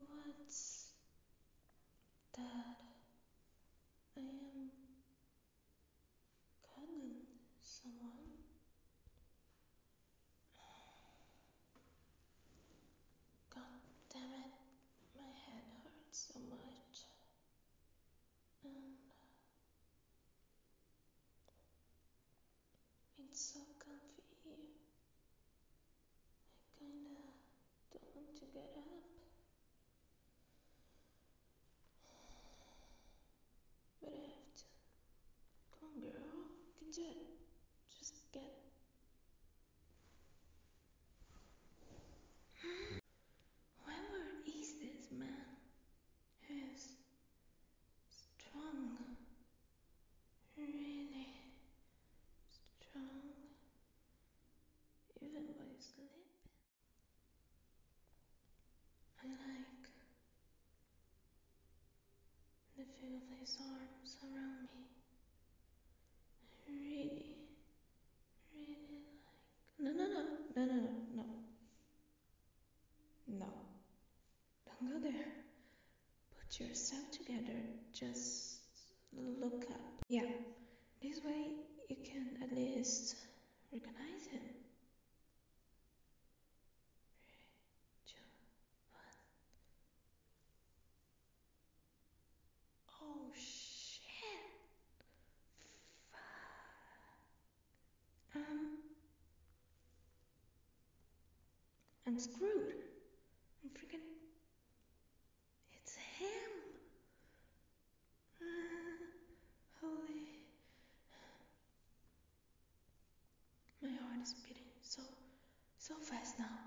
What's that I am cuddling someone? God damn it, my head hurts so much. And it's so comfy I kinda don't want to get up. But I have to. Come on, girl. You can do it. Just get. Whoever is this man who's strong really strong even while sleeping. I like the feel of his arms around me. I really, really like. No, no, no, no, no, no, no. No. Don't go there. Put yourself together. Just look up. Yeah, this way you can at least recognize him. Three, two, one. Oh shit! Fuck. Um. I'm screwed. I'm freaking. It's him! Uh, holy. My heart is beating so, so fast now.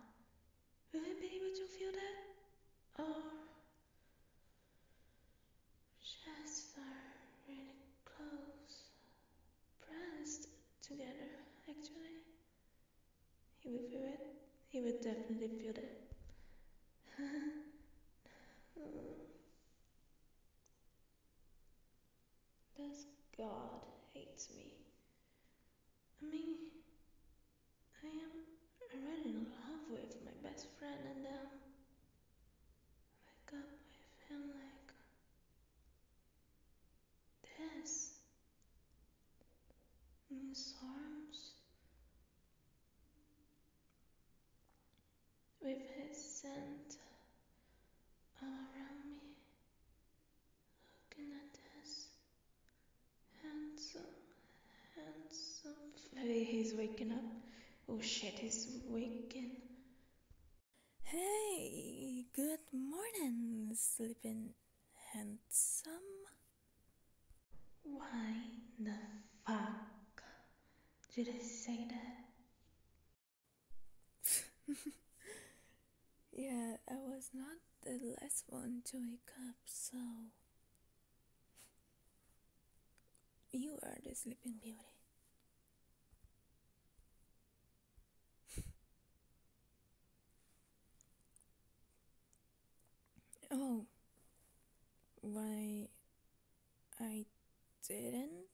Will I be able to feel that? Or. Oh, Chests are really close pressed together, actually. He would feel it. He would definitely feel it. Does God hates me? I mean, I am already in love with my best friend and I wake up with him like this. Miss Holmes, with his scent all around me, looking at this handsome, handsome. He's waking up. Oh shit, he's waking Hey, good morning, sleeping handsome. Why the fuck did I say that? yeah, I was not the last one to wake up, so. You are the sleeping beauty oh. Why I didn't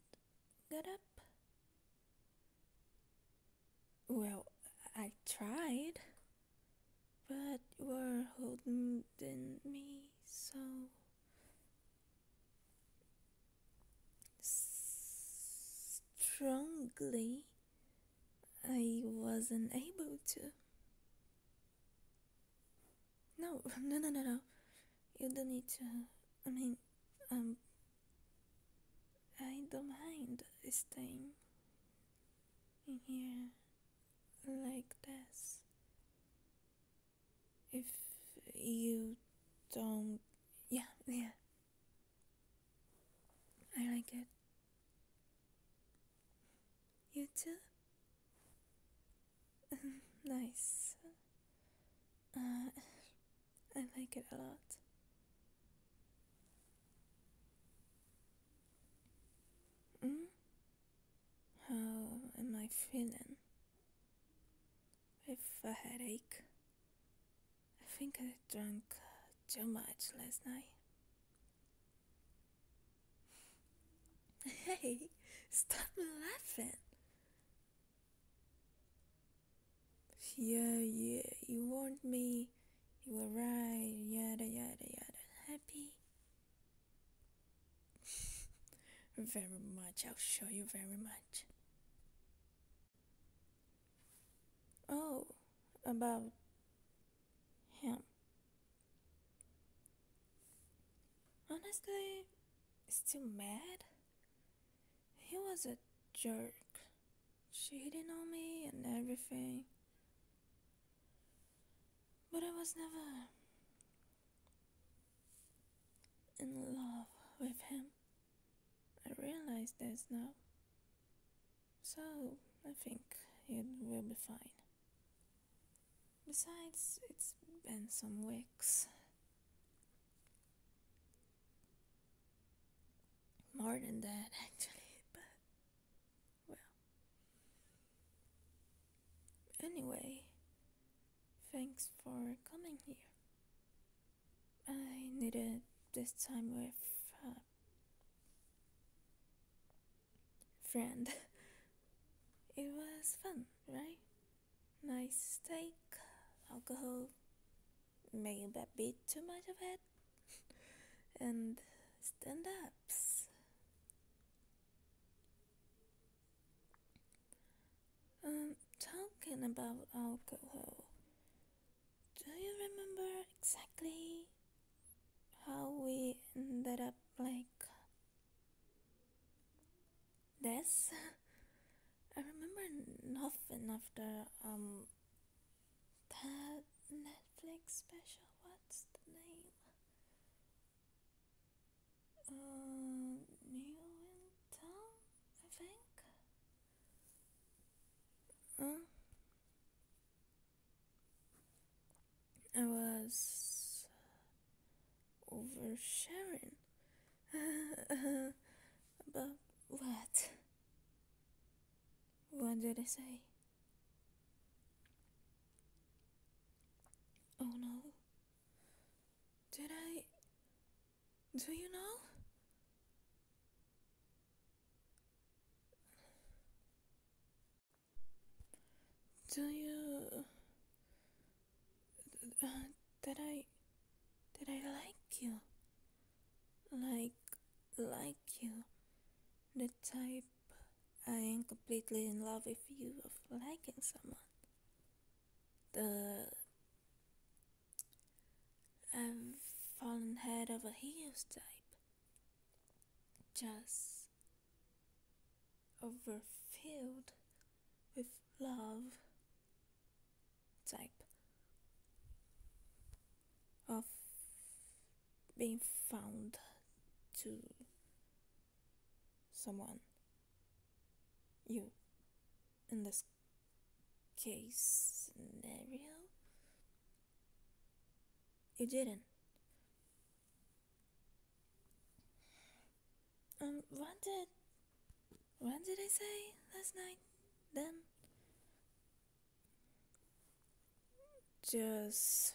get up? Well, I tried, but you were holding me so strongly, I wasn't able to. No, no, no, no, no. You don't need to. I mean, um, I don't mind staying in here like this. If you don't. Yeah, yeah. I like it. You too? nice. Uh, I like it a lot. Mm? How am I feeling? with a headache. I think I drank too much last night. Hey, stop laughing. Yeah, yeah, you warned me. You were right. Yada, yada, yada. Happy? very much. I'll show you very much. Oh, about him. Honestly, still mad? He was a jerk, cheating on me and everything. But I was never in love with him. I realize this now. So I think it will be fine. Besides, it's been some weeks. More than that, actually, but. Well. Anyway, Thanks for coming here. I needed this time with a friend. it was fun, right? Nice steak, alcohol, maybe a bit too much of it, and stand ups. Um, talking about alcohol, do you remember exactly how we ended up like this? I remember nothing after um that Netflix special. What's the name? uh, um, new I think. Huh? I was oversharing about what? What did I say? Oh no. Did I. Do you know? Do you. did I. Did I like you? Like. like you? The type I am completely in love with you of liking someone. The I've fallen head over heels type. Just overfilled with love type of being found to someone. You. In this case scenario? You didn't. Um, what did. What did I say last night? Then? Just.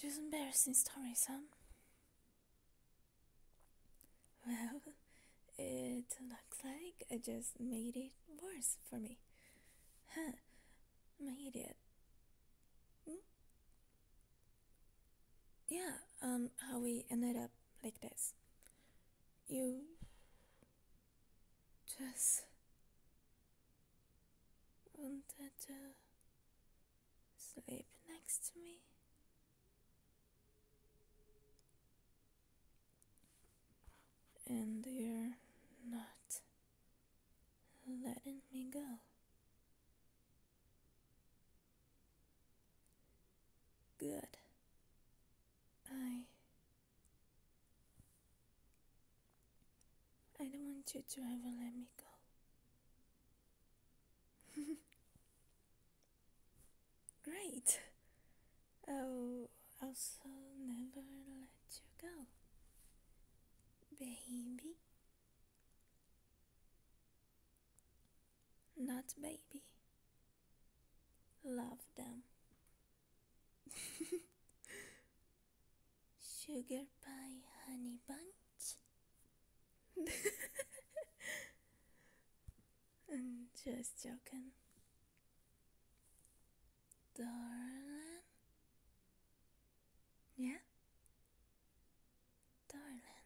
Just embarrassing stories, huh? Well, it looks like I just made it worse for me. Huh, I'm an idiot. Hmm? Yeah, um, how we ended up like this. You just Wanted to sleep next to me? And you're not letting me go. Good. I I don't want you to ever let me go. Great! i also never let you go. Baby. Not baby. Love them. Sugar Pie Honey Bunch. I'm just joking. Darling? Yeah? Darling.